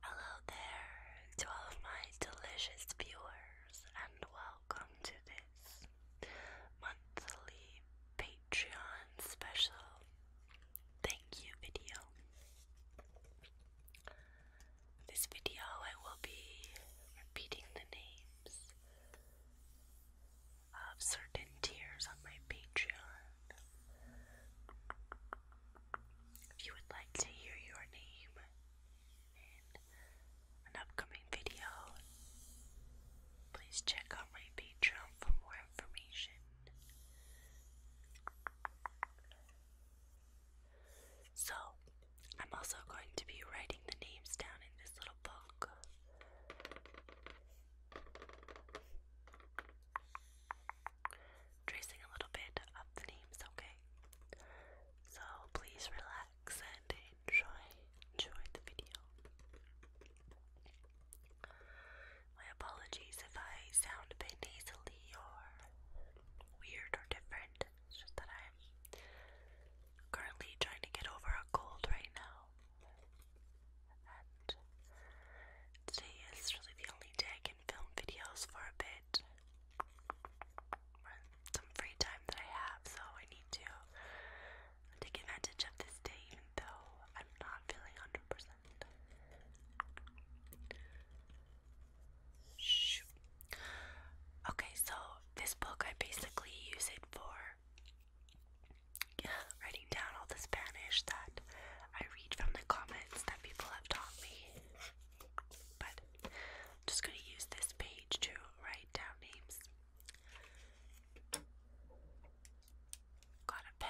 Hello there to all my delicious viewers, and welcome to this monthly Patreon special thank you video. this video, I will be repeating the names of certain tiers on my Patreon. If you would like to hear your name in an upcoming video, please check out my Patreon for more information. So, I'm also going to be writing the names down in this little book. Tracing a little bit of the names, okay? So, please relax and enjoy enjoy the video. My apologies if I sound a bit nasally or weird or different. It's just that I'm currently trying to get over a cold right now. And today is really the only day I can film videos for a bit. Some free time that I have, so I need to take advantage of this day, even though I'm not Okay, so this book, I basically use it for writing down all the Spanish that I read from the comments that people have taught me. But I'm just going to use this page to write down names. Got a pen.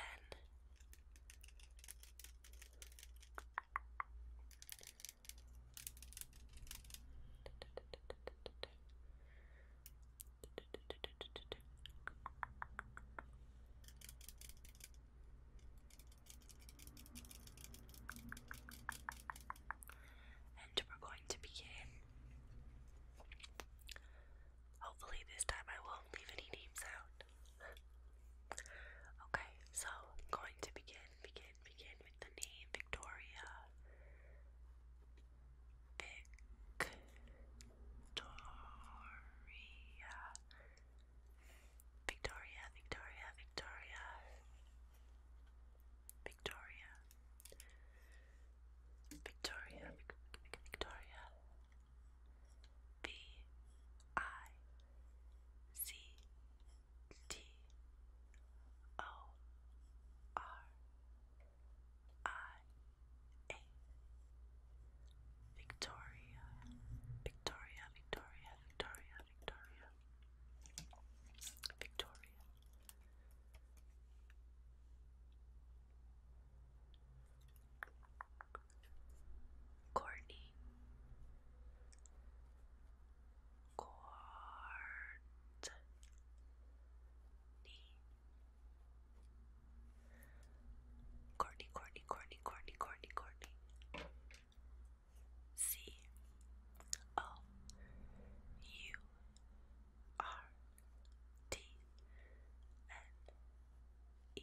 And we're going to begin. Hopefully, this time I won't leave any names out. Okay, so I'm going to begin, begin, begin with the name Victoria. Victoria. Victoria, Victoria, Victoria. Victoria. Victoria, Victoria. B I C T O R I A Victoria, Victoria, Victoria, Victoria, Victoria, Victoria. Courtney, Courtney, Courtney, Courtney, Courtney, Courtney, C O U R T N E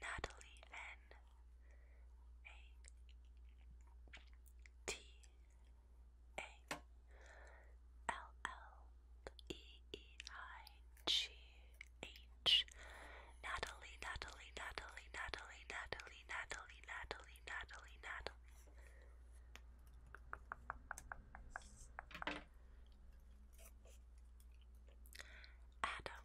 Natalie N A T A L L E E I G H Natalie Natalie Natalie Natalie Natalie Natalie Natalie Natalie Natalie Adam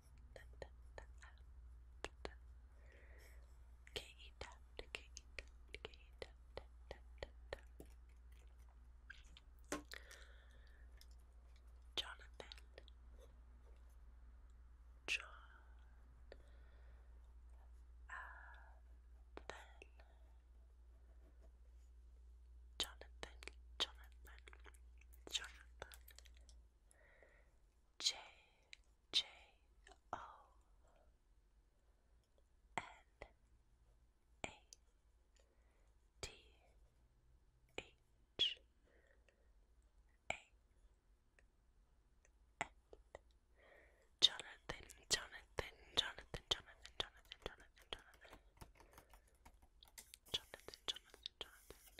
Jonathan John Jonathan Jonathan Jonathan J J O N A T H A N Jonathan, Jonathan, Jonathan, Jonathan, Jonathan, Jonathan, Jonathan, Jonathan, Jonathan.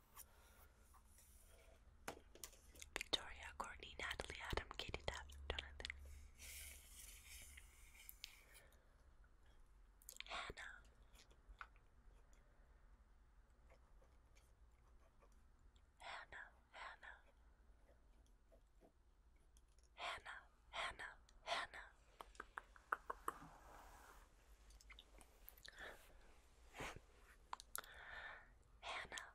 Victoria, Courtney, Natalie, Adam, Katie, Tab, Jonathan, Hannah, Hannah, Hannah, Hannah, Hannah. Hannah,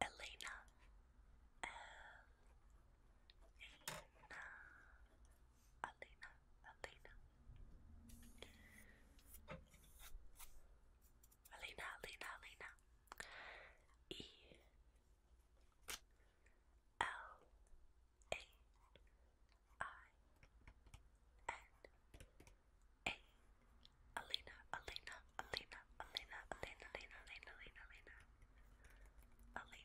Elena. Elena. Elena. Elena. Elena, Elena, Elena. E L A I N a eh, Alina, Alina, Alina, Alina, Alina, Alina, Alina, Alina, Alina, Alina.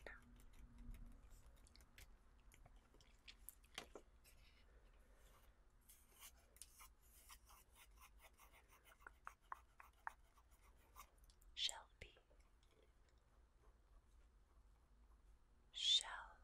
Shelby, Shelby,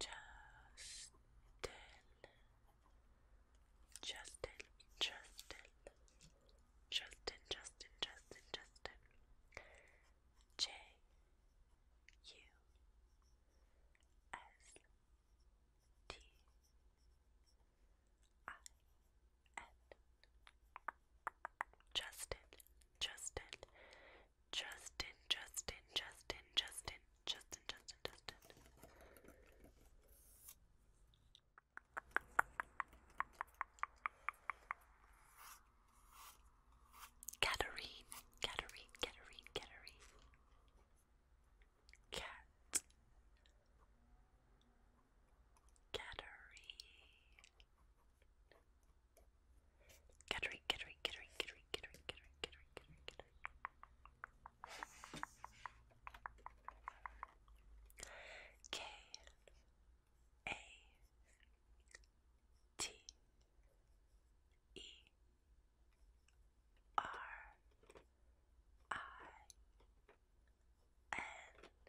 Justin, Justin, Justin, Justin, Justin, Justin, Justin, J U S T I N Justin, Justin, Justin, Justin, Justin, Justin, Justin, Justin, Justin. Katarine, Katarine, Katarine, Katarine. Cat. Cattery Kittery, kittery, kittery, kittery, kittery, kittery, kittery, kittery, kittery. K A T E R I N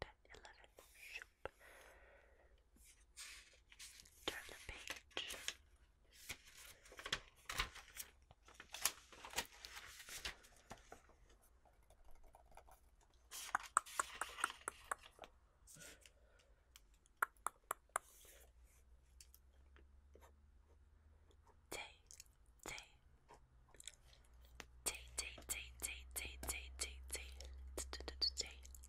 10, 11. Shoop. Turn the page. Day, day, day, day, day, day, day, day, day, day, day, day,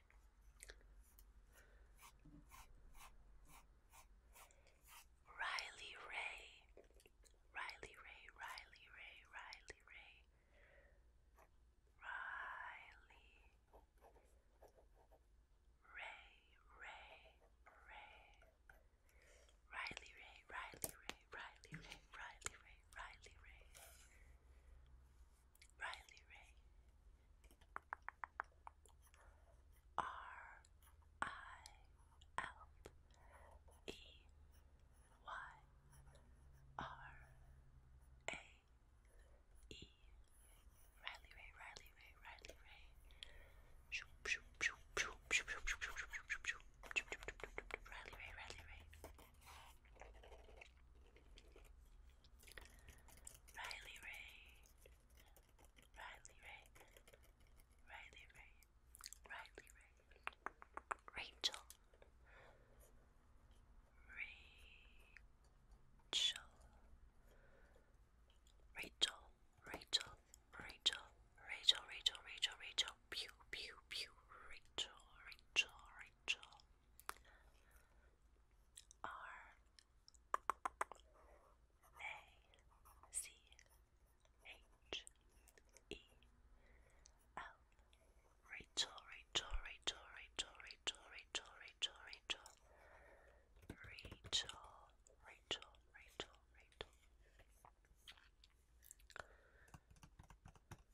Riley Ray, Riley Ray, Riley Ray, Riley Ray, Riley Ray, Ray, Ray, Riley Ray, Riley Ray, Riley Ray, Riley Ray, Riley Ray. Riley Ray R I L E Y R A E Riley Ray Riley Ray Riley Ray Riley Ray Riley Ray Riley Ray, Riley Ray, Riley Ray, Riley Ray, Rachel, Rachel, Rachel, Rachel, Rachel, Rachel, Rachel, Rachel, pew, pew, pew, Rachel, Rachel, Rachel. R A C H E L Rachel, Rachel, Rachel, Rachel, Rachel, Rachel, Rachel, Rachel, Rachel,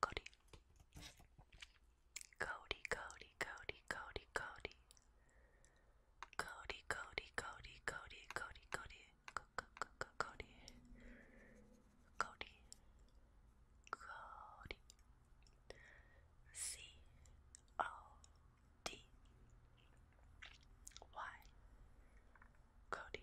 Cody. Cody, Cody, Cody, Cody, Cody. Cody, Cody, Cody, Cody, Cody, Cody, Cody, Cody, Cody, C O D Y, Cody,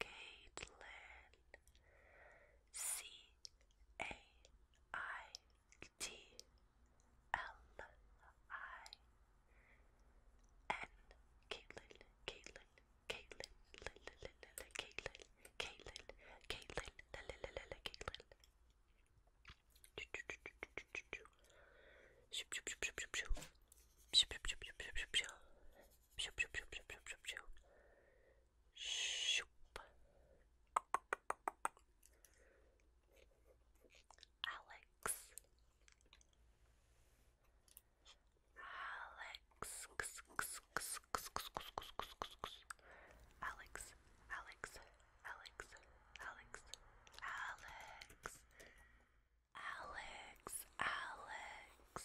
Caitlin. C A I T L I N. Caitlin, Caitlin, Caitlin, Caitlin, Caitlin, Caitlin, Caitlin, Caitlin. Shoop, shoop, shoop, shoop, shoop, shoop, shoop. Shoop. Alex. Alex. Alex. Alex. Alex. Alex. Alex. Alex. Alex.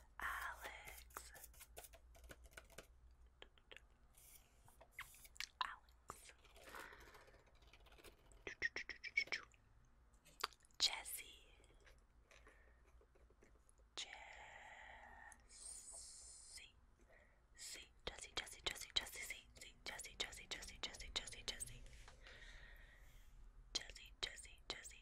Alex. Alex. Jesse. Jesse. See, Jesse, Jesse, Jesse, Jesse, see, see, Jesse, Jesse, Jesse, Jesse, Jesse, Jesse, Jesse, Jesse, Jesse,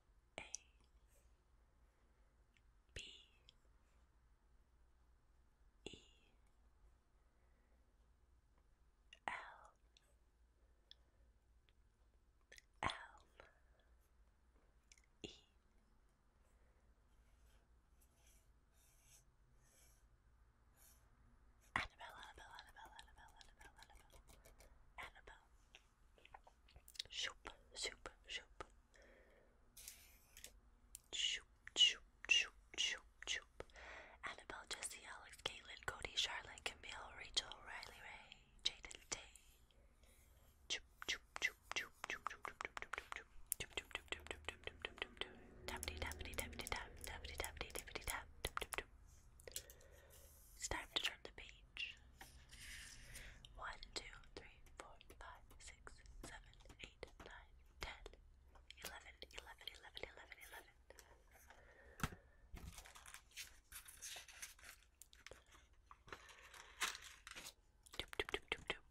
a B E L L E Annabelle, Annabelle, Annabelle, Annabelle, Annabelle, Annabelle, Annabelle, Shoop, shoop, shoop. Shoop, shoop, shoop, shoop, shoop. Annabelle, Jesse, Alex, Caitlin, Cody, Charlotte, Camille, Rachel, Riley, Ray, Jaden, Tay. Choop, choop, choop, choop, choop, choop, choop, choop, choop, choop, choop. It's time to turn the page each. 1, Doop, doop, doop, doop, doop.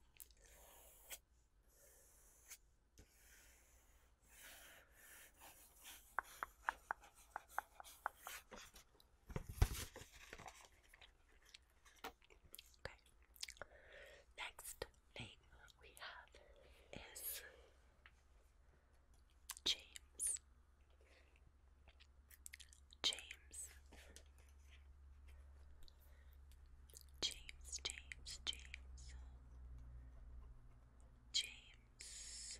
Okay. Next name we have is James. James. James, James, James. James.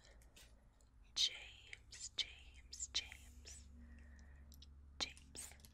James, James, James. James.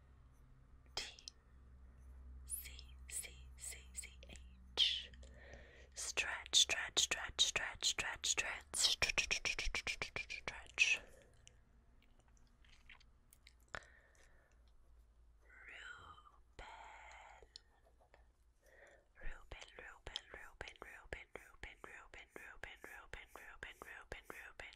T C C C C H Stretch, stretch, stretch, stretch, stretch, stretch, stretch, stretch. Ruben. Ruben, Ruben, Ruben, Ruben, Ruben, Ruben, Ruben, Ruben, Ruben, Ruben, Ruben.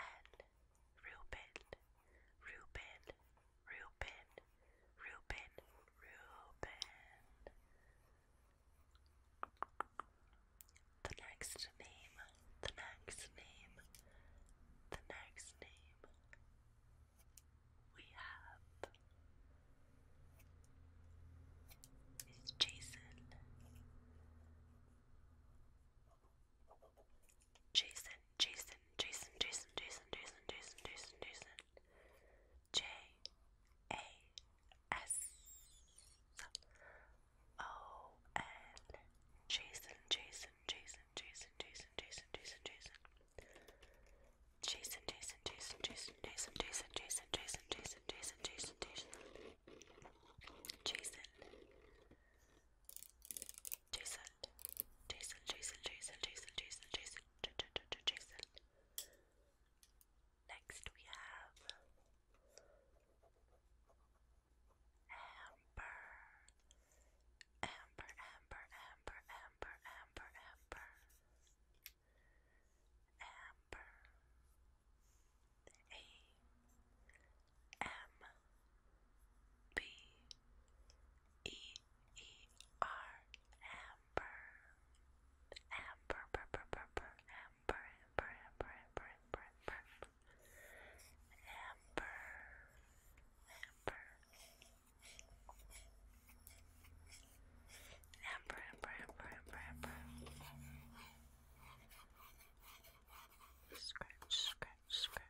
and Reuben, Reuben, Reuben, Reuben, Reuben. The next name, the next name, the next name we have is Jason. Jason, Jason, Jason, Jason, Jason, Jason, Jason, Jason, Jason. J A S O N. Jason, Jason, Jason, Jason, Jason, Jason, Jason, Jason. Jason, Jason, Jason, Jason, Jason, Jason, Jason, Jason, Jason, Jason, Jason, Jason. Jason. Jason, Jason, Jason, Jason, Jason, Jason, Jason, Jason, Jason. Next we have Amber, Amber, Amber, Amber, Amber, Amber, Amber, Amber. A M B E E R Amber Amber Amber Amber Amber Amber Amber Amber Amber Amber Amber Amber, amber, amber, amber, amber. Scratch, scratch, scratch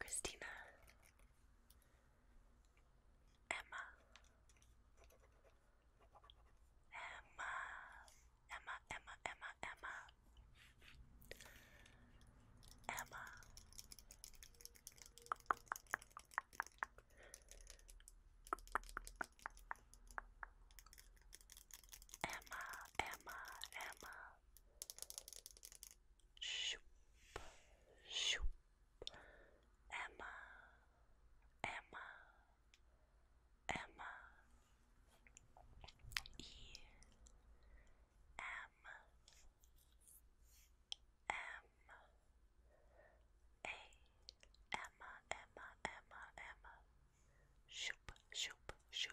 Christina, Emma, Emma, Emma, Emma, Emma, Emma, Emma, Emma, Emma, shoop, shoop. Emma, Emma, Emma. E M M A Emma, Emma, Emma, Emma. Shoop, shoop, shoop.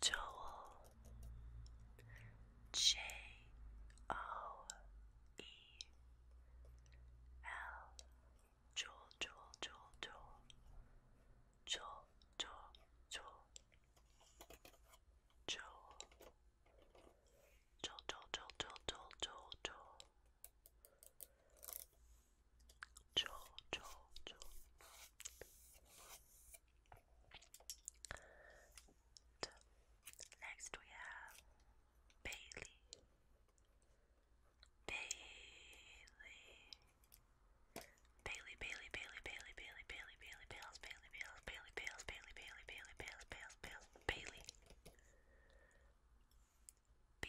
Joel J O E L Joel Joel Joel Joel Joel Joel Joel Joel Joel Joel Joel Joel Joel Joel joel joel jaw, jaw, jaw. Next we have Bailey. Bailey. Bailey, Bailey, Bailey, Bailey, Bailey, Bailey, Bailey, Bailey, Bales, Bailey, Bales, Bailey, Bailey, Bailey, Bales, Bales, Bailey. B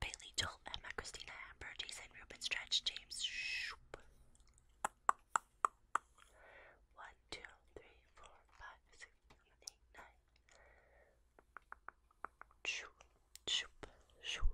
Bailey, Joel, Emma, Christina, Amber, Jason, Ruben, Stretch, James. Shoop. One, two, three, four, five, six, seven, eight, nine. Shoop, shoop, shoop.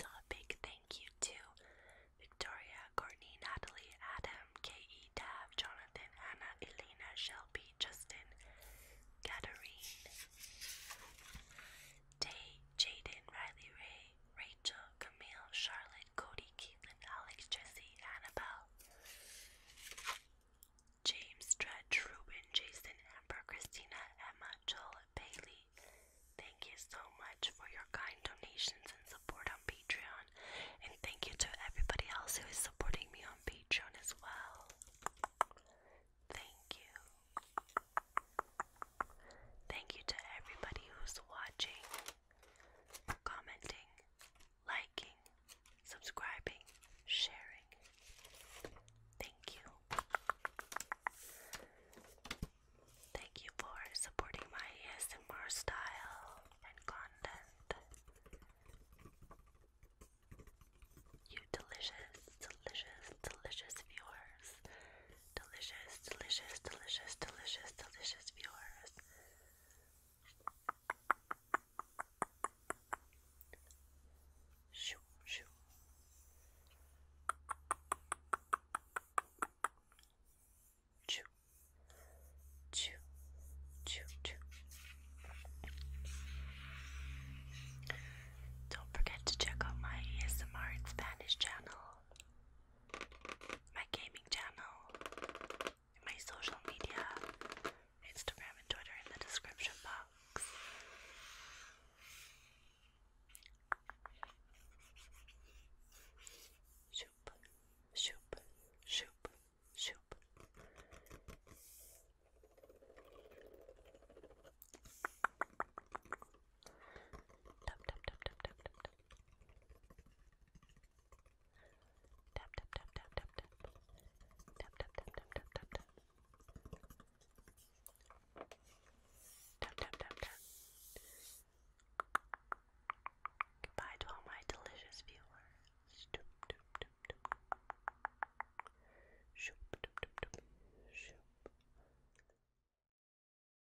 So a big thank you to Victoria, Courtney, Natalie, Adam, K.E. Tab, Jonathan, Anna, Elena, Shelby, Justin, Katarine, Day, Jaden, Riley, Ray, Rachel, Camille, Charlotte, Cody, Caitlin, Alex, Jesse, Annabelle, James, Dredge, Ruben, Jason, Amber, Christina, Emma, Joel, Bailey. Thank you so much for your kind donations and support on Patreon. And thank you to everybody else who is supporting me on Patreon as well. Thank you. Thank you to everybody who's watching, commenting, liking, subscribing, sharing. Thank you. Thank you for supporting my ASMR style and content. You delicious, delicious, delicious viewers. Delicious, delicious, delicious, delicious, delicious viewers. Shoo, shoo. Choo, choo, choo, choo. Don't forget to check out my ASMR in Spanish channel my gaming channel, my social media, Instagram and Twitter in the description box. Shoop, shoop, shoop, shoop. Tap tap tap tap tap tap tap. Tap tap tap tap tap tap. Tap tap tap tap tap tap tap. Tap tap tap Goodbye to all my delicious viewers.